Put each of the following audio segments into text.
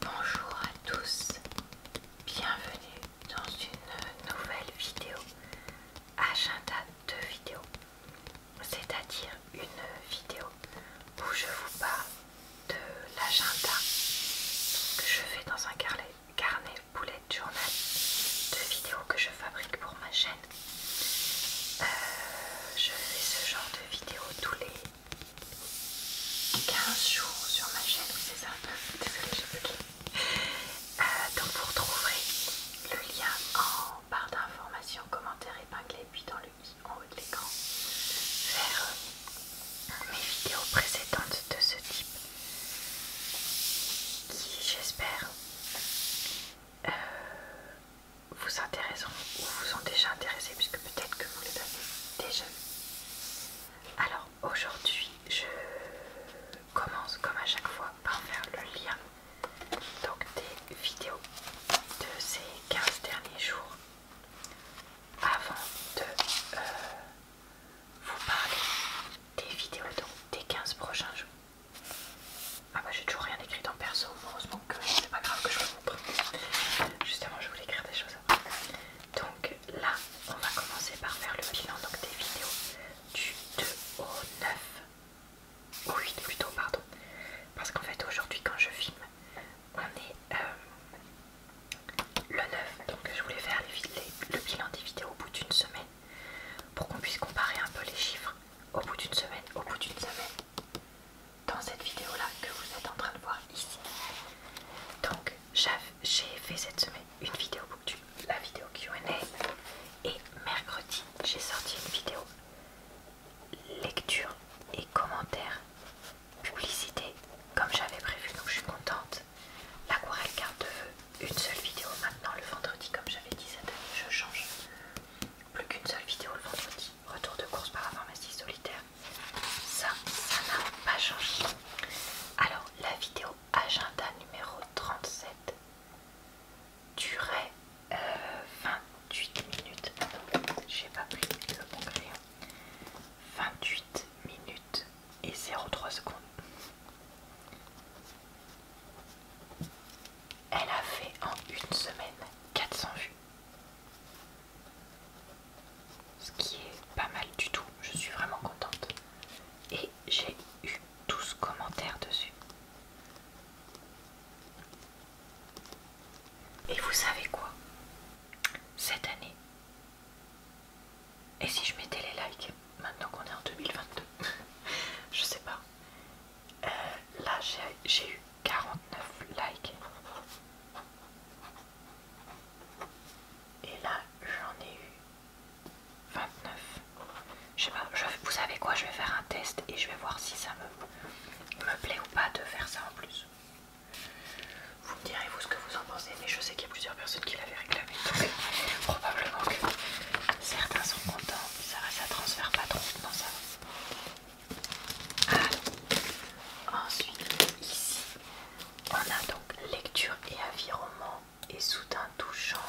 Bonjour à tous, bienvenue dans une nouvelle vidéo agenda de vidéo, c'est-à-dire une vidéo où je vous parle de l'agenda que je fais dans un carnet, carnet bullet journal de vidéos que je fabrique pour ma chaîne. Euh, je fais ce genre de vidéo tous les 15 jours sur ma chaîne, c'est ça, euh, donc vous retrouverez le lien en barre d'informations, commentaires épinglé, puis dans le i en haut de l'écran, vers euh, mes vidéos précédentes de ce type, qui j'espère euh, vous intéresseront ou vous ont déjà intéressé peut-être que vous les avez déjà Alors aujourd'hui, je commence comme à chaque fois par faire le lien donc des vidéos de ces 15 derniers jours avant de euh, vous parler des vidéos des 15 prochains jours. Ah bah j'ai toujours rien écrit dans perso, heureusement que c'est pas grave que je le montre. Justement je voulais écrire des choses. Donc là, on va commencer par faire le bilan des vidéos du 2 au 9, au 8 plutôt, pardon. Parce qu'en fait, aujourd'hui, quand je filme, on est euh, le 9. Donc je voulais faire le bilan des vidéos au bout d'une semaine pour qu'on puisse comparer un peu les chiffres au bout d'une semaine, au bout d'une semaine dans cette vidéo là que vous êtes en train de voir ici. Donc j'ai fait cette semaine une vidéo booktube, la vidéo Q&A et mercredi j'ai sorti une vidéo lecture et commentaires publicité comme j'avais prévu donc je suis contente. L'aquarelle carte de une seule vidéo maintenant le vendredi comme j'avais dit cette année je change plus qu'une seule vidéo le vendredi, retour de course par la pharmacie solitaire ça, ça n'a pas changé. Alors, la vidéo agenda numéro 37 durait 28 euh, minutes. J'ai pas pris le bon 28 minutes et 0,3 secondes. Elle a fait en une semaine 400 vues. Ce qui est pas mal du tout, je suis vraiment contente. Et j'ai eu 12 commentaires dessus. Et vous savez quoi Cette année, et si je mettais les likes maintenant qu'on est en 2022 Je sais pas. Euh, là, j'ai eu 49 likes. Et là, j'en ai eu 29. Je sais pas, vous savez quoi, je vais faire un test et je vais voir si ça me, plaît ou pas de faire ça en plus. Vous me direz vous ce que vous en pensez, mais je sais qu'il y a plusieurs personnes qui l'avaient réclamé. Donc, probablement que certains sont contents, ça, ça transfère pas trop. dans ça ah. ensuite, ici, on a donc lecture et romans et soudain tout change.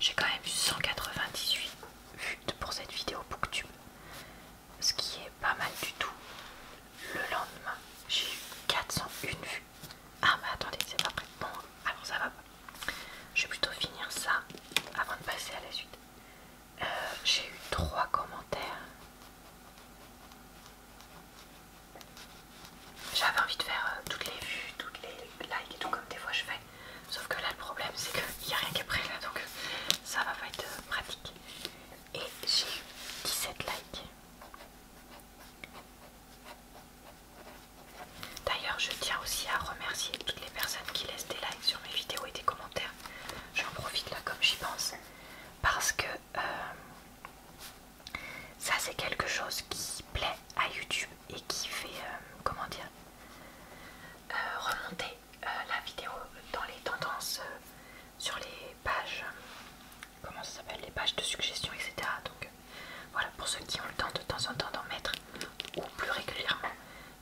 J'ai quand même eu 198 vues pour cette vidéo Booktube, ce qui est pas mal du tout. Le lendemain, j'ai eu 401 vues. Ah mais attendez, c'est pas prêt. Bon, alors ça va pas. Je vais plutôt finir ça avant de passer à la suite. Euh, j'ai eu 3 commentaires. J'avais envie de faire euh, toutes les vues, toutes les likes et tout comme des fois je fais. Sauf que là le problème c'est qu'il n'y a rien qu'après là donc euh, ça va pas être pratique. Et j'ai eu 17 likes. D'ailleurs je tiens aussi à remercier toutes les personnes qui laissent des likes sur mes vidéos et des commentaires. J'en profite là comme j'y pense parce que euh, ça c'est quelque chose qui plaît à YouTube et qui fait euh, comment dire euh, remonter la vidéo dans les tendances sur les pages comment ça s'appelle les pages de suggestions etc donc voilà pour ceux qui ont le temps de temps en temps d'en mettre ou plus régulièrement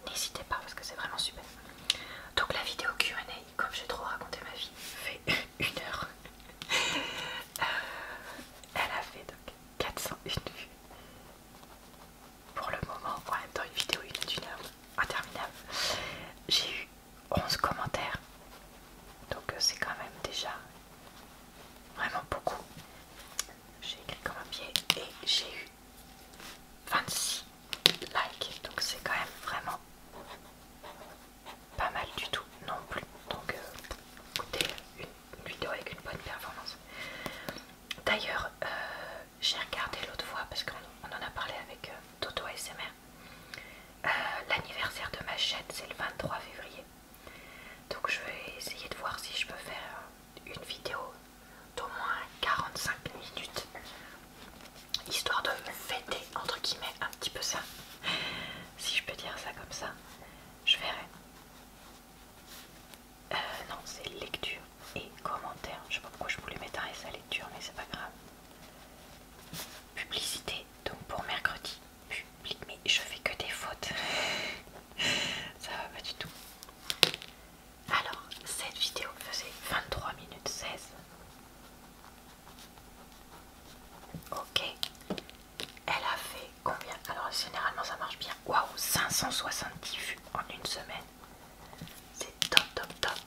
n'hésitez pas parce que c'est vraiment super donc la vidéo Q&A comme j'ai trop raconté ma vie, fait une heure. Euh, elle a fait donc 401 vues. Pour le moment, en même temps, une vidéo d'une heure interminable. J'ai eu 11 commentaires. Donc euh, c'est quand même déjà vraiment beaucoup. J'ai écrit comme un pied et j'ai eu 26 Like donc c'est quand même vraiment pas mal du tout non plus. Donc euh, une, vidéo avec une bonne performance. D'ailleurs, euh, j'ai regardé l'autre fois, parce qu'on en a parlé avec euh, Toto ASMR, l'anniversaire de ma chaîne, c'est le 23 février. Donc je vais essayer de voir si je peux faire une vidéo d'au moins 45 minutes histoire de fêter entre guillemets un petit peu ça, si je peux dire ça comme ça, je verrai. Euh, non, c'est lecture et commentaire. Je sais pas pourquoi je voulais mettre ça lecture, mais c'est pas grave. Publicité, donc pour mercredi. Public, mais je fais que des fautes. ça va pas du tout. Alors, cette vidéo faisait 23 minutes 16. Ok. Elle a fait combien Alors, généralement, ça marche bien. Waouh, 570 vues en une semaine. C'est top, top, top.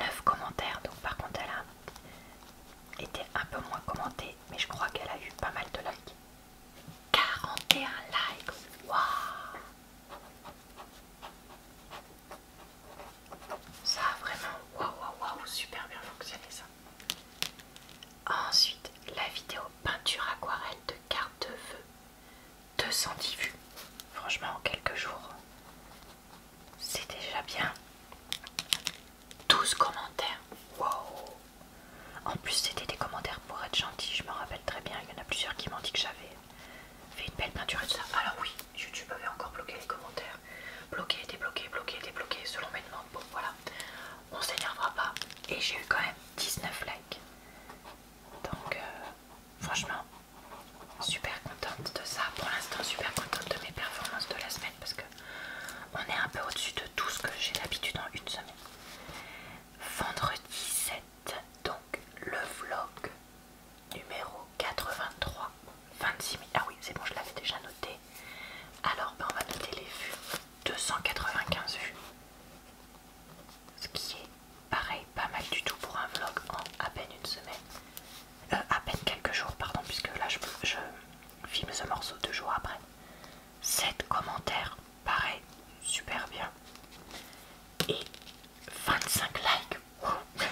9 commentaires. Donc, par contre, elle a été un peu moins commentée. Mais je crois qu'elle a eu pas mal de likes. 41 likes. Waouh ça a vraiment waouh waouh waouh super bien fonctionné ça. Ensuite, la vidéo peinture aquarelle de carte de feu. 210 vues. Franchement, en quelques jours, c'est déjà bien. 12 commentaires. Waouh! En plus, c'était des commentaires pour être gentil. Je me rappelle très bien. Il y en a plusieurs qui m'ont dit que j'avais fait une belle peinture et tout ça. Alors oui, YouTube avait encore bloqué les commentaires. Bloqué, débloqué, bloqué, débloqué, selon mes demandes. Bon voilà, on s'énervera pas. Et j'ai eu quand même 19 likes. Donc euh, franchement, super contente de ça. Pour l'instant, super contente de mes performances de la semaine parce que on est un peu au-dessus de tout ce que j'ai d'habitude en une semaine. Vendredi 7 donc le vlog numéro 83. 26 000. Ah oui, c'est bon, je l'avais déjà noté. Alors, ben, on va noter les vues. 295 vues. Ce qui est pareil, pas mal du tout pour un vlog en à peine une semaine. Euh, à peine quelques jours, pardon, puisque là je, je filme ce morceau deux jours après. 7 commentaires, pareil, super bien. Et 25 likes, mais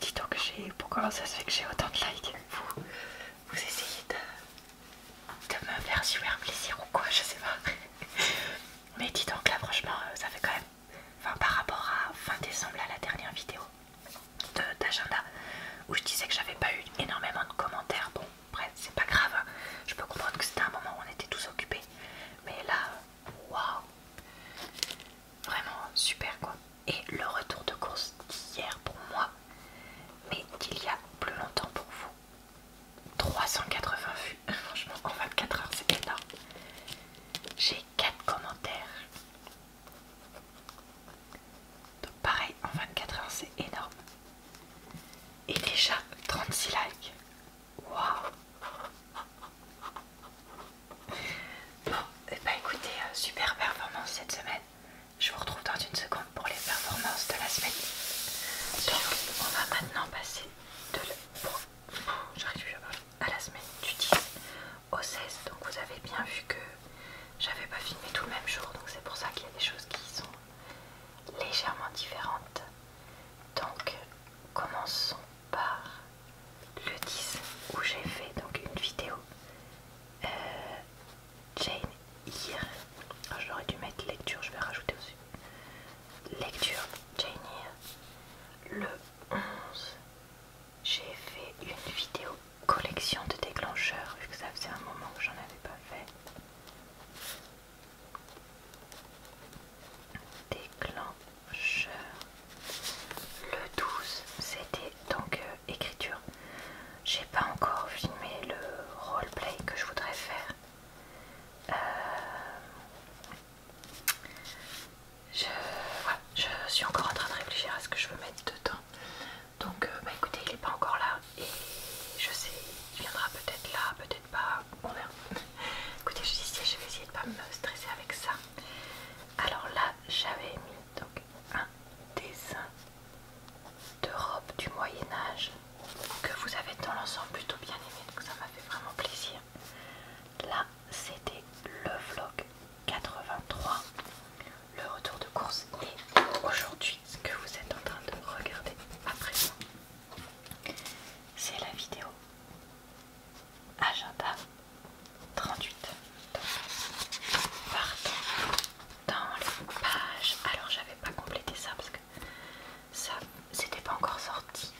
dites donc, pourquoi ça se fait que j'ai autant de likes vous, vous essayez de, me faire super plaisir ou quoi, je sais pas. Mais dites donc, là franchement, euh, ça fait quand même. Enfin, par rapport à fin décembre, à la dernière vidéo d'agenda où je disais que j'avais pas eu énormément de commentaires. Bon, bref, c'est pas grave. Je peux comprendre que c'était un moment où on était tous occupés. Mais là, waouh Vraiment super quoi. Et le retour de course d'hier pour moi, mais il y a plus longtemps pour vous. 380 vues, franchement en 24 heures c'est énorme. J'ai 4 commentaires. Donc pareil en 24 heures c'est énorme. Et déjà 36 likes. Wow. Bon, et eh bah ben, écoutez, euh, super performance cette semaine. Je vous retrouve dans une seconde pour les performances de la semaine. Donc, on va maintenant passer de le... à la semaine du 10 au 16. Donc, vous avez bien vu que j'avais pas filmé tout le même jour, donc c'est pour ça qu'il y a des choses qui sont légèrement différentes. Donc, Commençons par le 10 où j'ai fait donc une vidéo euh, Jane Eyre. J'aurais dû mettre lecture, je vais rajouter aussi. Lecture Jane Eyre. Le 11, j'ai fait une vidéo collection de déclencheurs, vu que ça faisait un moment que j'en avais pas fait déclencheur. Le 12, c'était donc euh, écriture. J'ai pas encore filmé le roleplay que je voudrais faire. Euh, je, suis encore en train de réfléchir à ce que je veux mettre dedans. Donc, euh, bah écoutez, il est pas encore là et je sais, il viendra peut-être là, peut-être pas, mon Écoutez, je je vais essayer de pas me stresser avec ça. Alors là, j'avais mis donc un dessin de robe du Moyen Âge que vous avez dans l'ensemble plutôt bien aimé, donc ça m'a fait vraiment plaisir. Là, c'était le vlog 83, le retour de course et aujourd'hui, ce que vous êtes en train de regarder à présent, c'est la vidéo agenda 38. partons dans les pages. Alors, j'avais pas complété ça parce que ça, c'était pas encore sorti.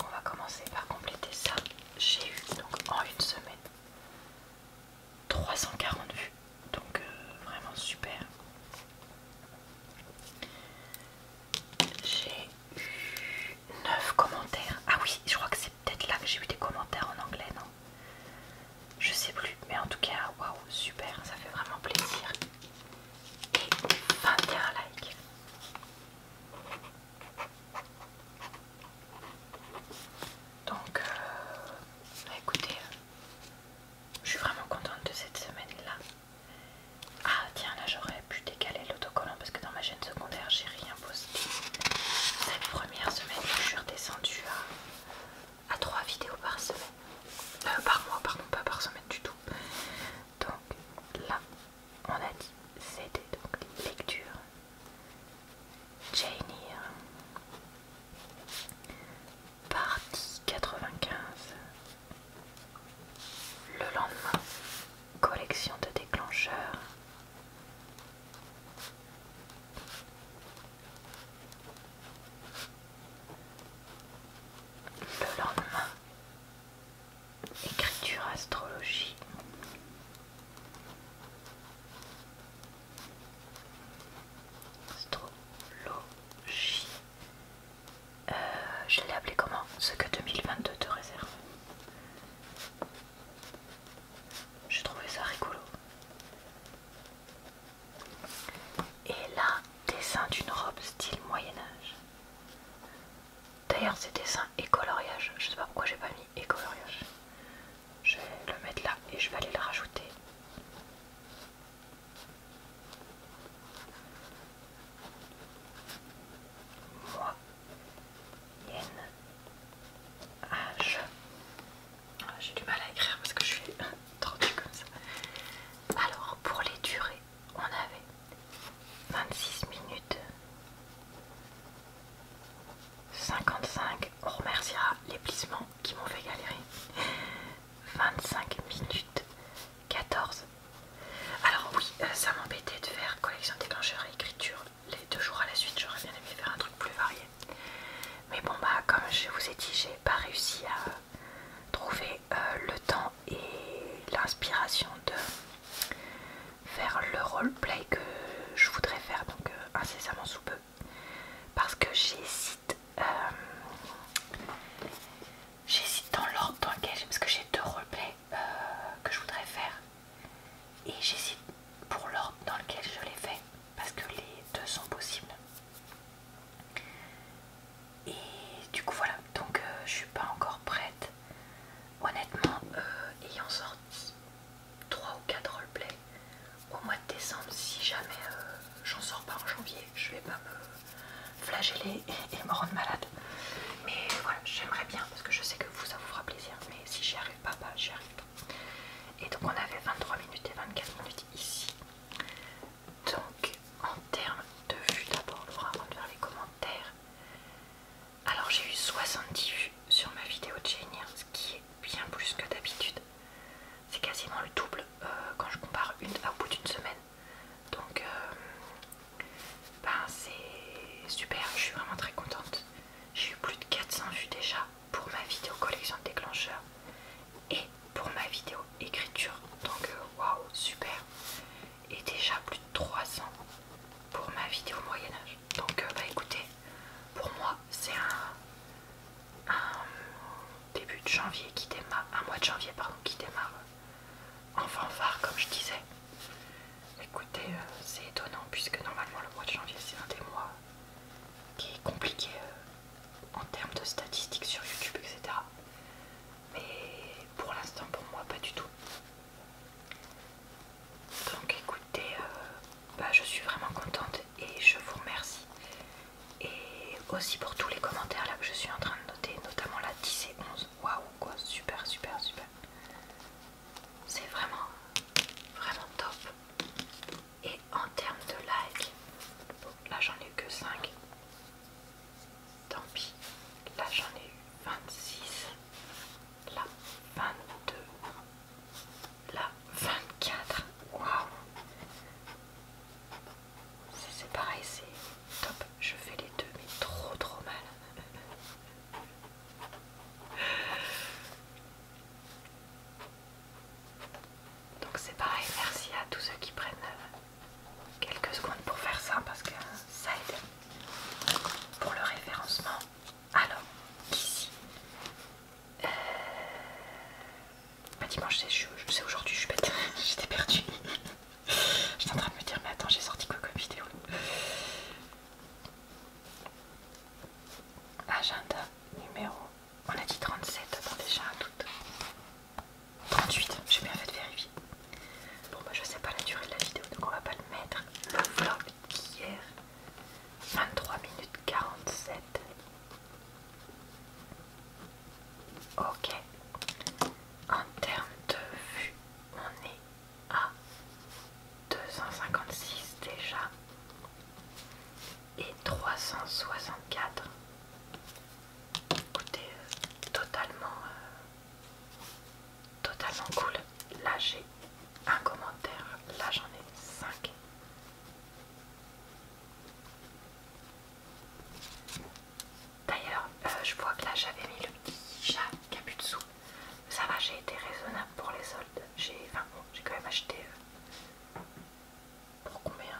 On va commencer par compléter ça. J'ai eu donc en une semaine 340 vues, donc euh, vraiment super. J'ai 9 commentaires. Ah oui, je crois que c'est peut-être là que j'ai eu des commentaires en anglais, non Je sais plus, mais en tout cas, waouh, super, ça fait vraiment plaisir. Et 21 likes. Donc, euh, bah, écoutez, je suis vraiment contente de cette semaine-là. Ah tiens, là j'aurais pu décaler l'autocollant parce que dans ma chaîne secondaire j'ai rien posté. Cette première semaine, je suis redescendue à, 3 vidéos par semaine. Euh, par mois, pardon, pas par semaine du tout. Donc là, on a dit, c'était donc lecture. Jane Eyre, partie 95, le lendemain, collection de déclencheurs. Le lendemain, écriture astrologie. Astrologie. Euh, je l'ai appelé comment Ce que 2022 te réserve. J'ai trouvé ça rigolo. Et là, dessin d'une robe style Moyen-Âge. D'ailleurs, c'est dessin écoloriage. coloriage. Je sais pas pourquoi j'ai pas mis écoloriage. Je vais le mettre là et je vais aller le rajouter. Moi, H. Ah, j'ai du mal à écrire parce que je suis tendue comme ça. Alors, pour les durées, on avait 26 minutes 55. On remerciera les plissements qui m'ont fait galérer. 25 minutes 14. Alors oui, euh, ça m'embêtait de faire collection déclencheur et écriture les deux jours à la suite. J'aurais bien aimé faire un truc plus varié. Mais bon bah comme je vous ai dit, j'ai pas réussi à trouver euh, le temps et l'inspiration de faire le roleplay que je voudrais faire donc euh, incessamment sous peu parce que j'hésite J'hésite dans l'ordre dans lequel j'ai, parce que j'ai deux roleplays euh, que je voudrais faire. Et j'hésite pour l'ordre dans lequel je les fais, parce que les deux sont possibles. Et du coup voilà, donc euh, je suis pas encore prête. Honnêtement, euh, ayant sorti 3 ou 4 roleplays au mois de décembre, si jamais j'en sors pas en janvier, je vais pas me flageller et, me rendre malade. Mais voilà, j'aimerais bien parce que je sais que vous, ça vous fera plaisir. Mais si j'y arrive pas, bah j'y arrive Et donc on avait 23 minutes et 24 minutes ici. Donc en termes de vues d'abord, on avant de faire les commentaires. Alors j'ai eu 70 vues sur ma vidéo de Jenny, hein, ce qui est bien plus que d'habitude. C'est quasiment le double euh, quand je compare une, à bout d'une semaine donc, euh, ben, c'est super, je suis vraiment très contente. J'ai eu plus de 400 vues déjà pour ma vidéo collection de déclencheurs et pour ma vidéo écriture. Donc, euh, waouh, super. Et déjà plus de 300 pour ma vidéo Moyen-Âge. Donc, euh, bah écoutez, pour moi, c'est un, début de janvier qui démarre, un mois de janvier, pardon, qui démarre en fanfare comme je disais. Écoutez, euh, c'est étonnant puisque normalement le mois de janvier c'est un des mois qui est compliqué euh, en termes de statistiques sur YouTube, etc. Mais pour l'instant pour moi pas du tout. Donc écoutez, euh, bah, je suis vraiment contente et je vous remercie et aussi pour tous les commentaires là que je suis en train de noter, notamment la 10 et 11. Waouh, quoi, super, super, super. C'est vraiment, vraiment top. Et en termes de likes, bon, là j'en ai eu que 5. Tant pis, là j'en ai eu 26, là 22, là 24. Waouh! C'est pareil, c'est top. Je fais les deux, mais trop trop mal. Donc c'est pareil, merci à tous ceux qui prennent euh, quelques secondes pour faire ça parce que ça aide pour le référencement. Alors, ici, euh, dimanche, c'est aujourd'hui, je suis bête, j'étais perdue. J'étais en train de me dire, mais attends, j'ai sorti quoi comme vidéo Agenda numéro. On a dit 37, dans déjà un doute. 38, vais bien fait vérifier. Bon, bah, je sais pas la durée de la vidéo, donc on va pas le mettre. Le vlog d'hier, 23 minutes 47. Ok. En termes de vue, on est à 256 déjà et 364. Écoutez, euh, totalement, euh, totalement cool. Là j'ai un commentaire, là j'en ai 5. D'ailleurs, euh, je vois que là j'avais mis le petit chat sous, Ça va, j'ai été raisonnable pour les soldes. J'ai j'ai quand même acheté euh, pour combien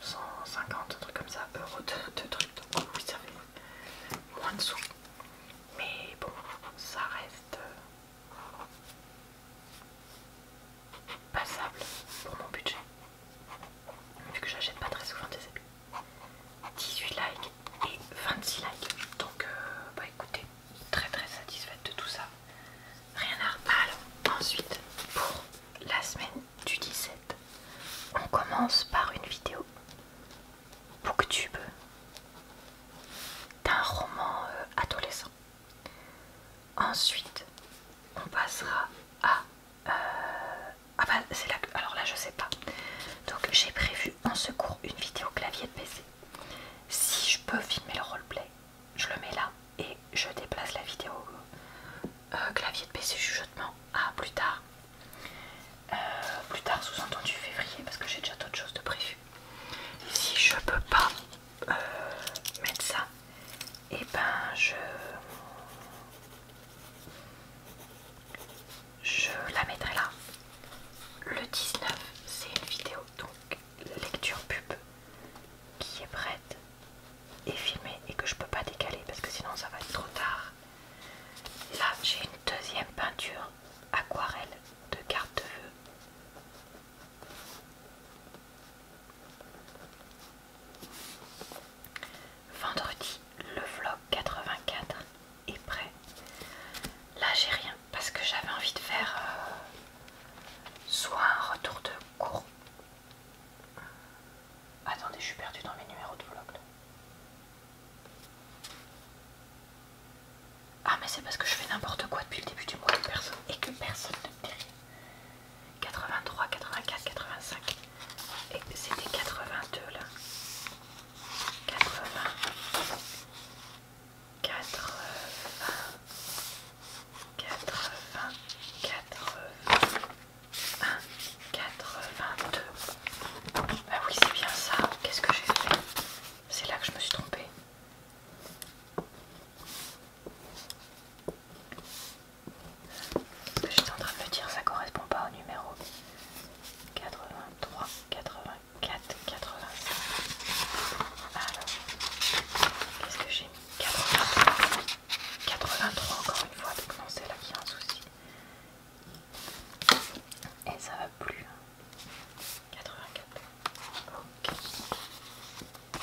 150, trucs comme ça, euros de, trucs. Donc oh oui, ça fait moins de sous. Mais bon, ça reste euh, passable pour mon budget vu que j'achète pas très souvent des habits. 18 likes et 26 likes. Donc, euh, bah écoutez, très très satisfaite de tout ça. Rien à Alors, ensuite, pour la semaine du 17, on commence par une vidéo booktube d'un roman euh, adolescent. Ensuite, on passera à euh, ah bah, c'est là Alors là je sais pas. Donc j'ai prévu en secours une vidéo clavier de PC. Si je peux filmer le roleplay, je le mets là et je déplace la vidéo euh, clavier de PC chuchotement à plus tard. Euh, plus tard sous-entendu février parce que j'ai déjà d'autres choses de prévu. Si je peux pas mettre ça, et eh ben je je la mettrai là. Le 19, c'est une vidéo donc lecture pub qui est prête et filmée et que je peux pas décaler parce que sinon ça va être trop tard. Là, j'ai une deuxième peinture aquarelle de carte de Vendredi, le vlog 84 est prêt. Là, j'ai rien parce que j'avais envie de faire euh, soit un retour de cours. Attendez, je suis perdue dans mes numéros de vlog. Ah mais c'est parce que je fais n'importe quoi depuis le début du mois de personne et que personne ne me dit 83, 84, 85. Et c'était 82 là. 80. 80. 80. 81. 82. Bah oui, c'est bien ça. Qu'est-ce que j'ai fait C'est là que je me suis trompée. Je suis en train de me dire ça correspond pas au numéro 83, 84, 85. Alors, qu'est-ce que j'ai mis 83. 83 encore une fois, donc non c'est là qu'il y a un souci. Et ça va plus. 84. Ok. Bon,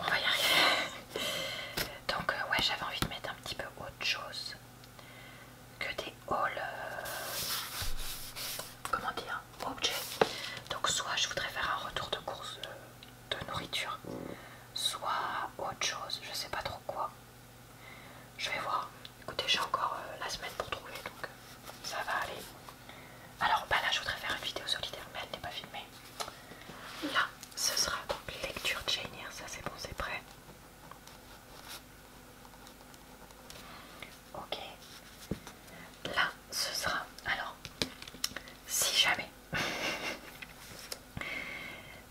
on va y arriver. Donc, euh, ouais, j'avais envie de mettre un petit peu autre chose que des hauls. Euh, comment dire Objets. Donc, soit je voudrais faire un retour de course euh, de nourriture, soit autre chose, je sais pas trop quoi. Je vais voir. Écoutez, j'ai encore la semaine pour trouver donc ça va aller. Alors, bah là, je voudrais faire une vidéo solidaire, mais elle n'est pas filmée. Là, ce sera donc lecture Janier, ça c'est bon, c'est prêt. Ok. Là, ce sera. Alors, si jamais.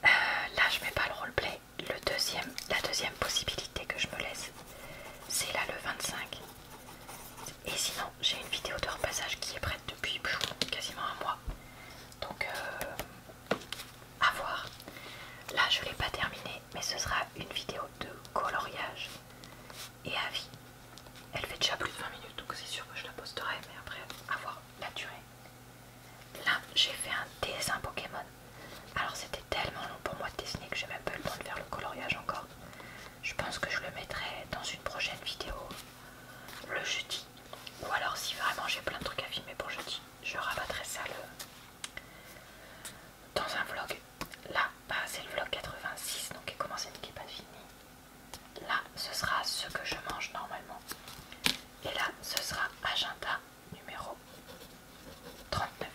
Euh, là, je mets pas le roleplay. Le deuxième, la deuxième possibilité que je me laisse, c'est là le 25. Et sinon, j'ai une vidéo de repassage qui est prête depuis quasiment un mois. Donc, euh, à voir. Là, je ne l'ai pas terminée, mais ce sera une vidéo de coloriage et avis. Elle fait déjà plus de 20 minutes, donc c'est sûr que je la posterai, mais après, à voir la durée. Là, j'ai fait un dessin Pokémon. Alors, c'était tellement long pour moi de dessiner que j'ai même pas eu le temps de faire le coloriage encore. Je pense que je le mettrai dans une prochaine vidéo le jeudi. Ou alors si vraiment j'ai plein de trucs à filmer pour jeudi, je rabattrai ça dans un vlog. Là, bah, c'est le vlog 86, donc il commence et qui n'est pas fini. Là, ce sera ce que je mange normalement. Et là, ce sera agenda numéro 39.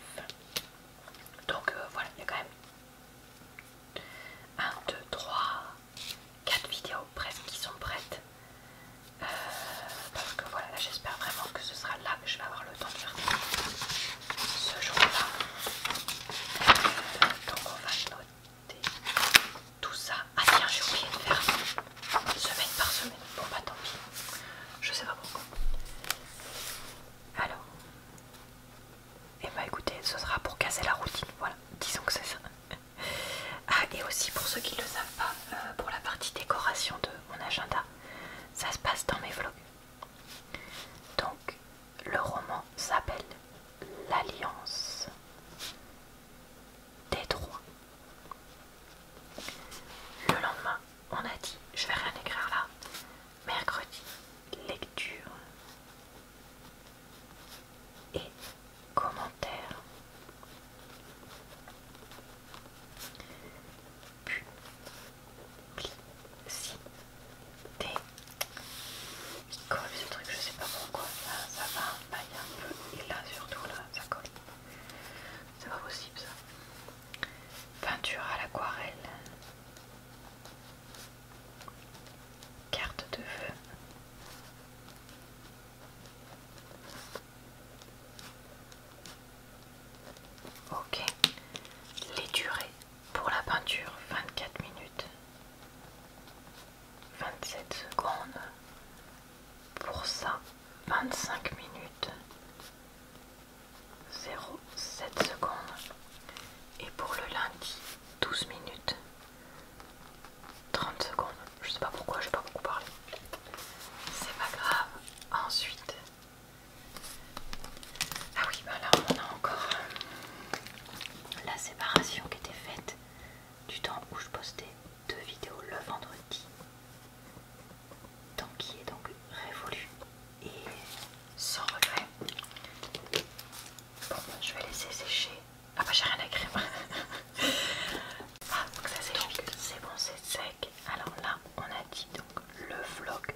Donc euh, voilà, il y a quand même 1, 2, 3, 4 vidéos presque qui sont prêtes. Euh, parce que voilà, j'espère vraiment que ce sera là que je vais avoir le temps de faire ce jour-là. Euh, donc on va noter tout ça. Ah tiens, j'ai oublié de faire semaine par semaine. Bon bah tant pis. Je sais pas pourquoi. Alors, et eh bah ben, écoutez, ce sera pour casser la routine, voilà, disons que c'est ça. Ah, et aussi pour ceux qui ne le savent pas, euh, pour la partie décoration de mon agenda, ça se passe dans mes vlogs. Donc, le roman s'appelle L'Alliance des Trois Le lendemain, on a dit, je vais rien écrire là, mercredi, lecture et commentaires. Publicité. Il colle ce truc, je sais pas pourquoi. ça va, il y a un peu. Et là, surtout, là, ça colle. C'est pas possible ça. Peinture à l'aquarelle. Carte de vœux. Ok. Les durées pour la peinture 24 minutes, 27 secondes. Pour ça, 25 minutes, 0,7 secondes. Et pour le lundi, 12 minutes, 30 secondes. Je sais pas pourquoi, je pas beaucoup parlé. C'est pas grave. Ensuite. Ah oui, bah là on a encore euh, la séparation qui était faite du temps où je postais deux vidéos le vendredi. Temps qui est donc révolu et sans regret. Bon, je vais laisser sécher. Ah bah j'ai rien à crème. ah donc ça sèche vite. C'est bon, c'est sec. Alors là, on a dit donc le vlog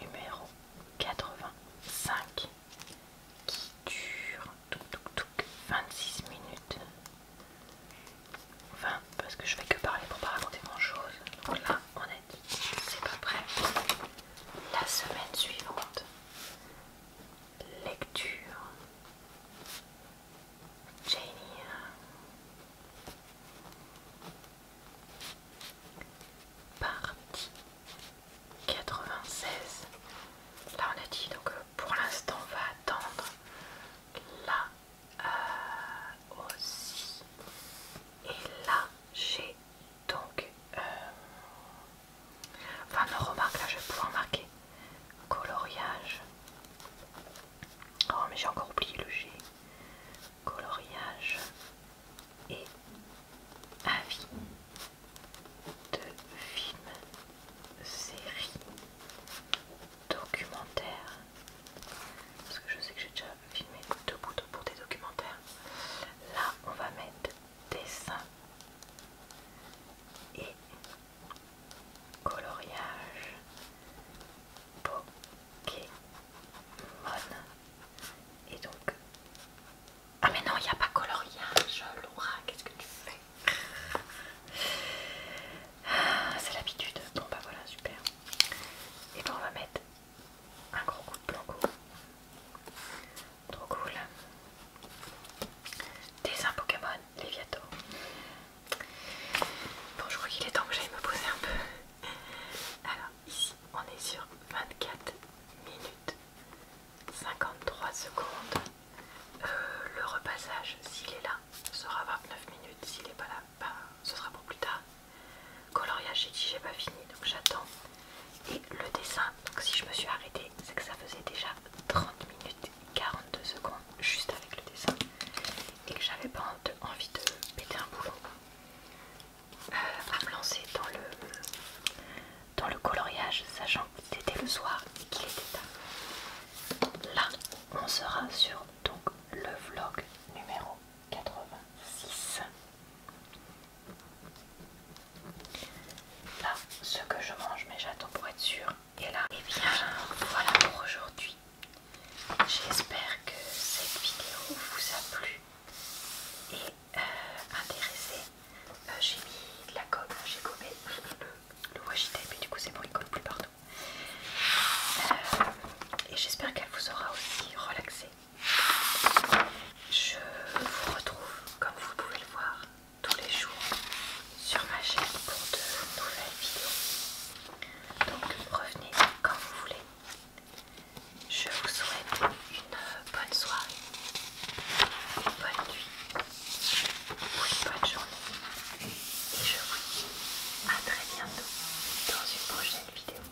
numéro 85 qui dure 26 minutes. Enfin, parce que je vais que parler pour pas raconter grand chose. Donc là, on a dit c'est pas prêt. La semaine suivante. Lecture Jenny Partie 96 Là on a dit donc euh, pour l'instant on va attendre là euh, aussi et là j'ai donc euh, Enfin me remarque là je vais pouvoir marquer. Coloriage. Oh mais j'ai encore oublié le G. Coloriage et avis de film, série, documentaire. Parce que je sais que j'ai déjà filmé deux boutons pour des documentaires. Là on va mettre dessin et coloriage Pokémon. Et donc... Ah mais non, il n'y a pas coloriage, Laura, qu'est-ce que tu fais ah, C'est l'habitude. Bon bah voilà, super. Et bon on va mettre un gros coup de blanco. Trop cool. Dessin Pokémon, les Bon, je crois qu'il est temps que j'aille me poser un peu. Alors, ici, on est sur 24 minutes 53 secondes. Euh, le repassage, s'il est là, sera 29 minutes. S'il n'est pas là, ben, ce sera pour plus tard coloriage, j'ai dit j'ai pas fini donc j'attends. Et le dessin, donc si je me suis arrêtée, c'est que ça faisait déjà 30 minutes 42 secondes juste avec le dessin et que j'avais pas envie de péter un boulot euh, à me lancer dans le, dans le coloriage, sachant qu'il était le soir et qu'il était tard. Là, on sera sur donc le vlog numéro 86. Là, ce que je mange, mais j'attends pour être sûr. Et là, et eh bien voilà pour aujourd'hui. J'espère que cette vidéo vous a plu et euh, intéressé. Euh, j'ai mis de la gomme, j'ai gommé le, le mais du coup c'est bon, il colle plus partout. Euh, et j'espère qu'elle vous aura aussi relaxé je vous retrouve, comme vous pouvez le voir, tous les jours sur ma chaîne pour de nouvelles vidéos. Donc revenez quand vous voulez. Je vous souhaite une bonne soirée, une bonne nuit ou une bonne journée. Et je vous dis à très bientôt dans une prochaine vidéo.